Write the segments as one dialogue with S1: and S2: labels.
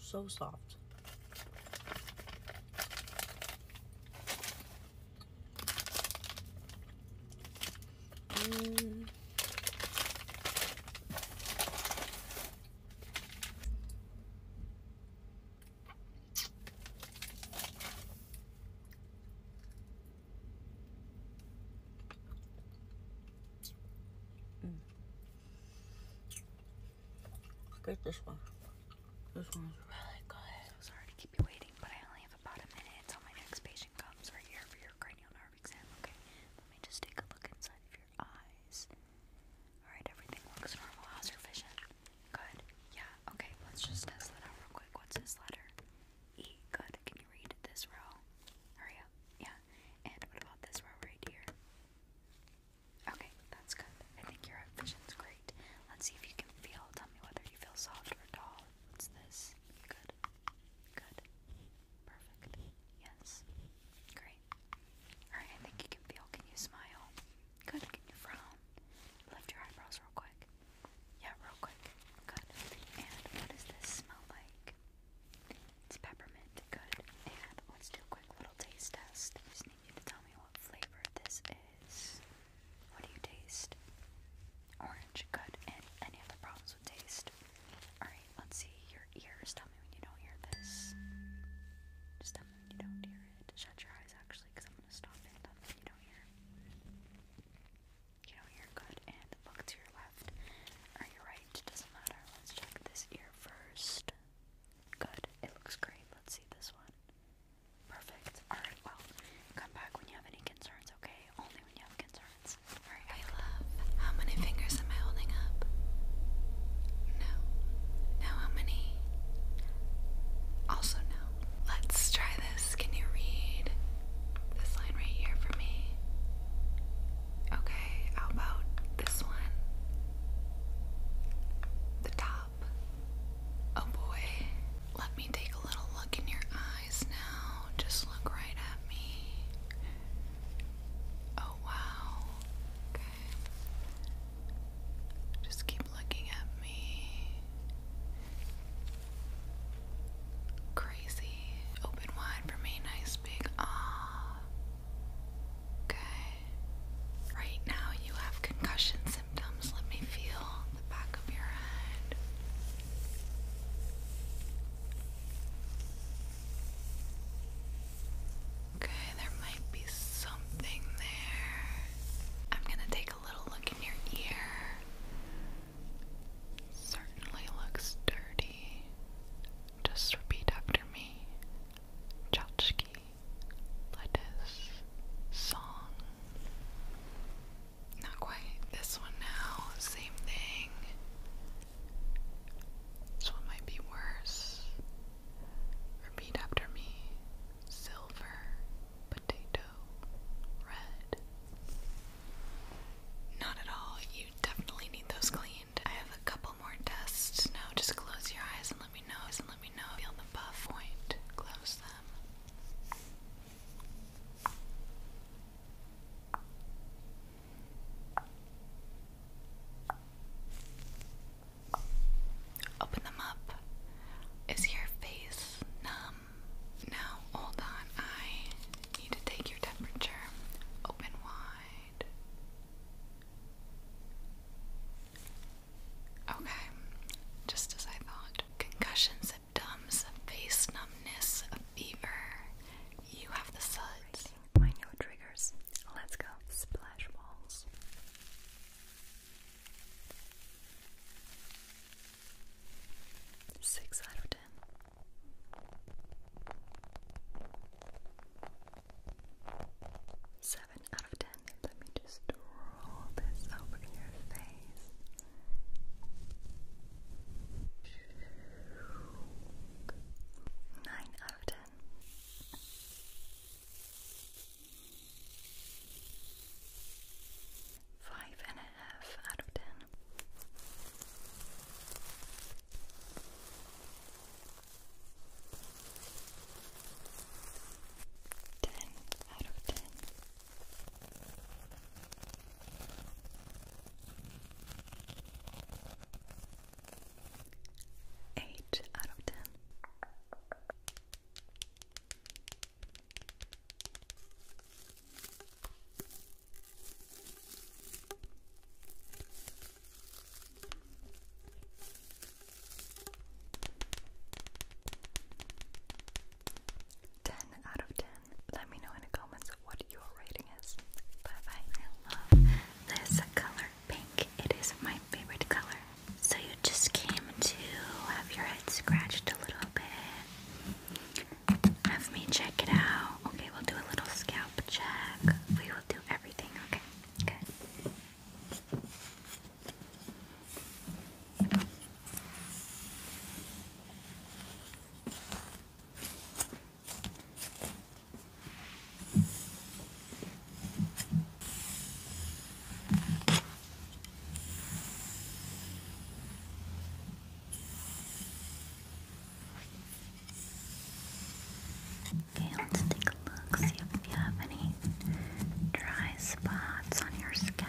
S1: So soft. Mm. Mm. Get this one. This one's really good. sorry to keep you waiting, but I only have about a minute until my next patient comes right here for your cranial nerve exam. Okay, let me just take a look inside of your eyes. All right, everything looks normal. How's your vision? Good. Yeah. Okay. Let's just test that out real quick. What's this letter? E. Good. Can you read this row? Hurry up. Yeah. And what about this row right here? Okay. That's good. I think your vision's great. Let's see if you can feel. Tell me whether you feel soft or tall. What's this? Good. Good. Perfect. Yes. Great. Alright, I think you can feel. Can you smile? Good. Can you frown? Lift your eyebrows real quick. Yeah, real quick. Good. And what does this smell like? It's peppermint. Good. And let's do a quick little taste test. I just need you to tell me what flavor this is. What do you taste? Orange. Good. And any other problems with taste? Alright, let's see. Your ears. Tell me when you don't hear this. Just tell me when you don't hear it. Shut your eyes actually, because I'm going to stop it. Tell me you don't hear it. You know you good, and look to your left or your right, doesn't matter. Let's check this ear first. Good, it looks great. Let's see this one. Perfect. Alright, well, come back when you have any
S2: concerns, okay? Only when you have concerns. Alright. I love. How many fingers am I holding up? No. Now how many? Also no. Let's try this. Can you read this line right here for me? Okay, how about this one? The top. Oh boy. Let me take a little look in your eyes now. Just look right at me. Oh wow. Okay. Just keep looking at me. Crazy. Open wide for me. Nice big ah. Okay. Right now you have concussion symptoms. Let me feel the back of your head. Okay, there might be something there. I'm gonna take a little look in your ear. Certainly looks dirty. Just repeat after me. Tchotchke, lettuce, song. Not quite. This one now, same thing. This one might be worse. Repeat after me. Silver, potato red. Not at all. You definitely need those cleaned. I have a couple more tests now. Just close your eyes and let me know. And let me know. Feel the buff point. Close them. Open them up. Is your face numb? Now, hold on. I need to take your temperature. Open wide. Okay, just as I thought. Concussion symptoms, face numbness, fever.
S3: You have the suds. My new triggers. Let's go. Splash balls. Six out of ten. Seven out of ten. Let me just roll this over your face. Nine out of ten. Five and a half out of ten. Ten out of ten.
S1: Eight out of ten. Ten out of ten. Let me know in the comments what your rating is. Bye bye. I love this color pink. It is my favorite color. So you just came to have your head scratched a little bit. Have me check it out. Okay, we'll do a little scalp check. We will do everything. Okay, good. Okay, let's take a look, see if you have any dry spots on your scalp.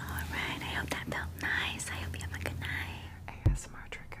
S3: All right, I hope that felt nice. I hope
S2: you have a good night. ASMR triggers.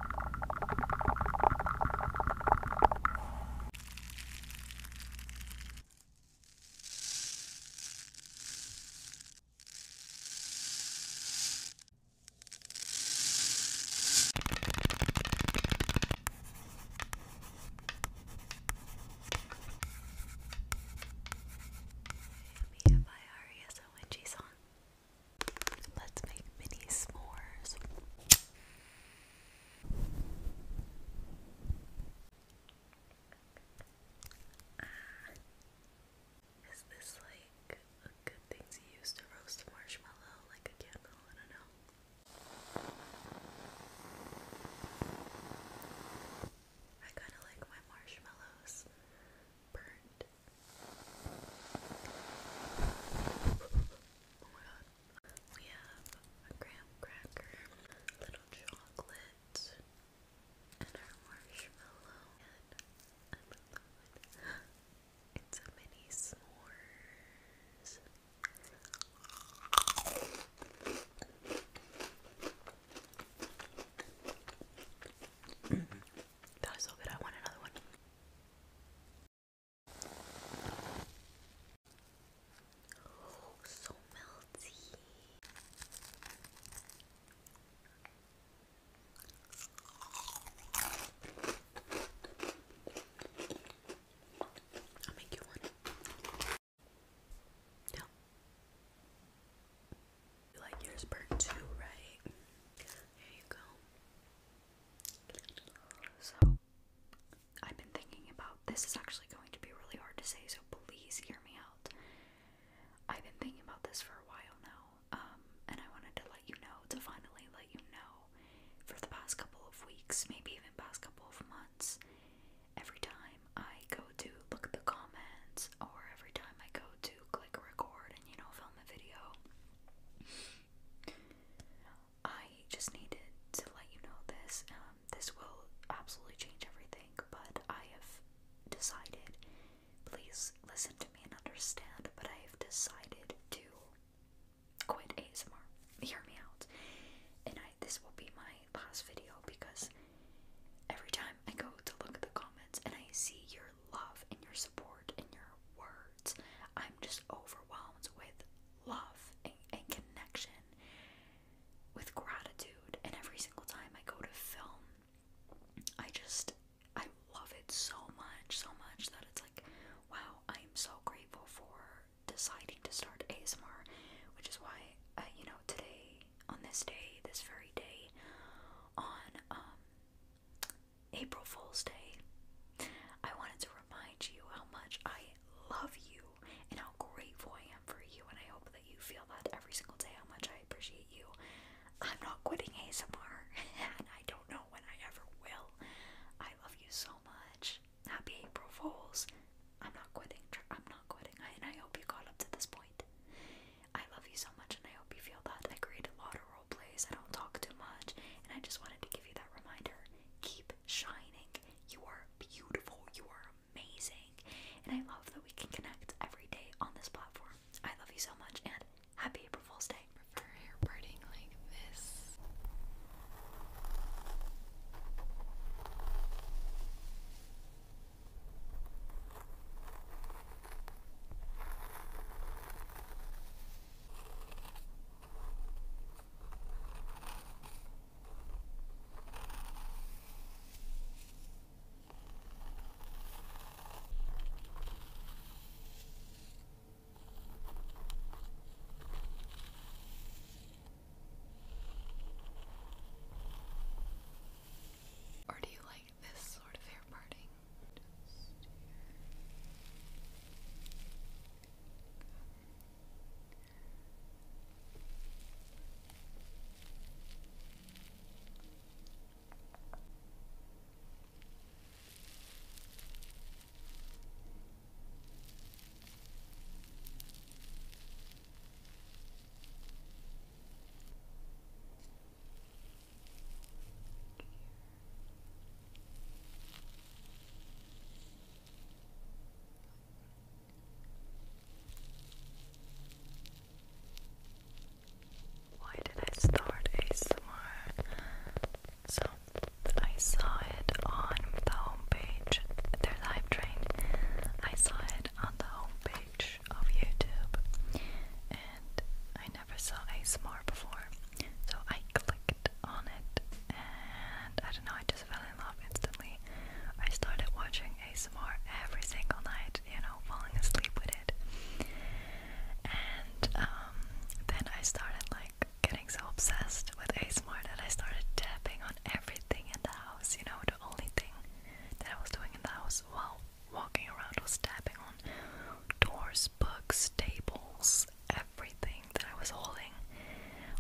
S3: Maybe if I hurry is a witchy song. Let's make mini s'mores. Ah. Is this like a good thing to use to roast marshmallow like a candle? I don't know. I kind of like my marshmallows burnt Oh my We have a graham cracker, little chocolate, and our marshmallow, and I love It's a mini s'mores. that was so good. I want another one. Oh, so melty.
S1: I'll make you one. No. You like yours burnt too, right? There you go. So, I've been thinking about this is actually going to be really hard to say, so please hear me out. I've been thinking about this for a while now, um, and I wanted to let you know, to finally let you know, for the past couple of weeks, maybe even past couple of months, every time I go to look at the comments, or every time I go to click record and, you know, film the video, I just needed to let you know this. Um, this will absolutely change everything, but I have decided, please listen to me and understand, but I have decided to quit ASMR. Hear me out. And I this will be my last video because every time I go to look at the comments and I see your love and your support and your words. I'm just overwhelmed with love and, connection, with gratitude. And every single time I go to film, I just, I love it so much, so much that it's like, wow, I am so grateful for deciding to start ASMR, which is why, uh, you know, today, on this day, this very day, on um, April Fool's Day, I wanted to remind you how much I love you and how grateful I am for you, and I hope that you feel that every single day how much I appreciate you. I'm not quitting ASMR, and I don't know when I ever will. I love you so much. Happy April Fools. I'm not quitting. I'm not quitting. and I hope you got up to this point. I love you so much, and I hope you feel that. I created a lot of roles role I don't talk too much, and I just wanted to give you that reminder. Keep shining. You are beautiful. You are amazing. And I love that we can connect every day on this platform. I love you so much, and happy April Fool's Day. prefer hair parting like this.
S2: Or do you like this sort of hair parting.
S3: Why did I start ASMR? So I saw it on the homepage, their live train. I saw it on the homepage of YouTube, and I never saw ASMR before. So I clicked on it and I don't know, I just fell in love instantly. I started watching ASMR every single night, you know, falling asleep with it. And um, then I started like getting so obsessed with ASMR that I started tapping on everything in the house, you know, the only thing that I was doing in the house while walking around was tapping on doors, books, tables, everything that I was holding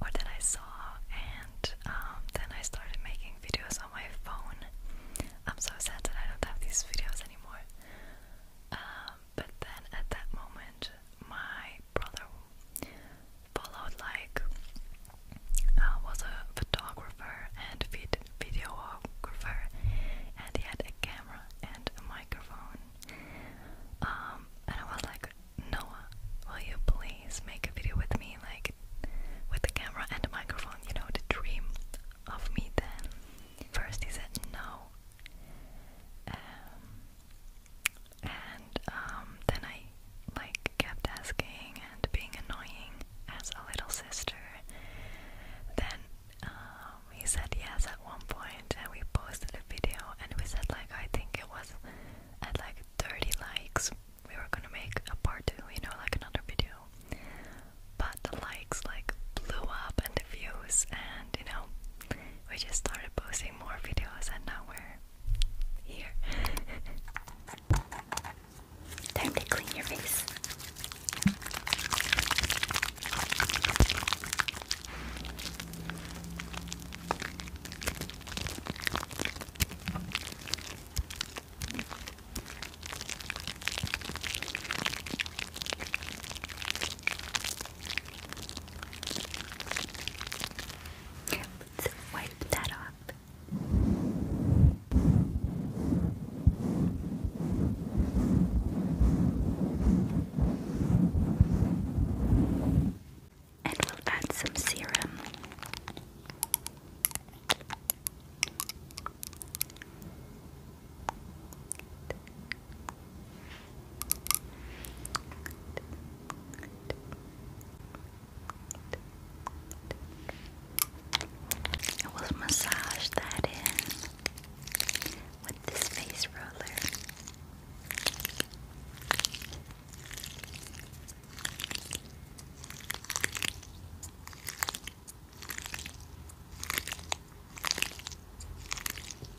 S3: or that I saw, and um, then I started making videos on my phone. I'm so sad that I don't have these videos anymore. Um, but then at that moment, my brother followed like uh, was a photographer and vid videographer, and he had a camera camera and a microphone. Um, and I was like, Noah, will you please make a video with me, like with the camera and a microphone? You know, the dream of me then. First, he said no. Um, and um, then I like kept asking and being annoying as a little sister. Then uh, we said yes at one point and we posted a video and we said like I think it was at like 30 likes we were gonna make a part two, you know, like another video. But the likes like blew up and the views and you know we just started posting more videos and now we're here. Time to clean your face. Let's wipe that off. And we'll add some serum. I will massage that in with this face roller.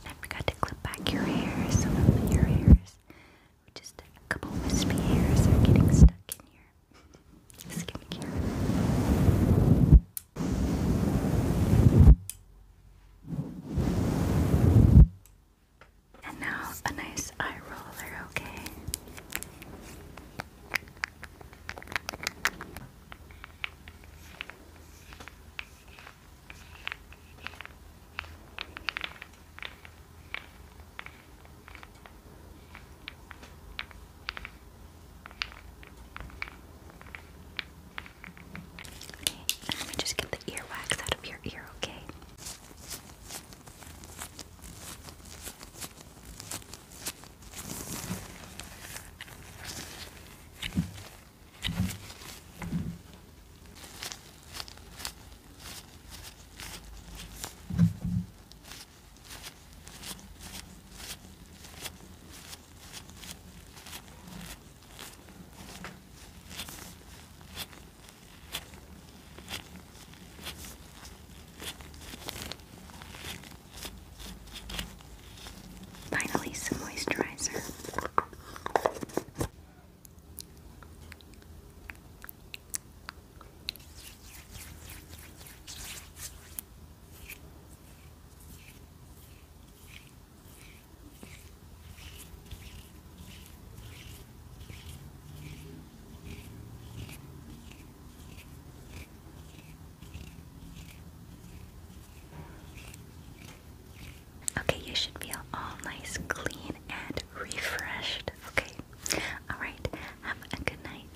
S3: I forgot to clip back your hair, some
S1: your hairs. Just a couple wispy hairs are getting stuck in here skincare. And now a nice eye roller, okay? let me just get the earwax out of your ear, Okay. Finally, some
S2: moisturizer.
S1: Okay, you should feel all nice, clean, and refreshed. Okay, all right, have a good night.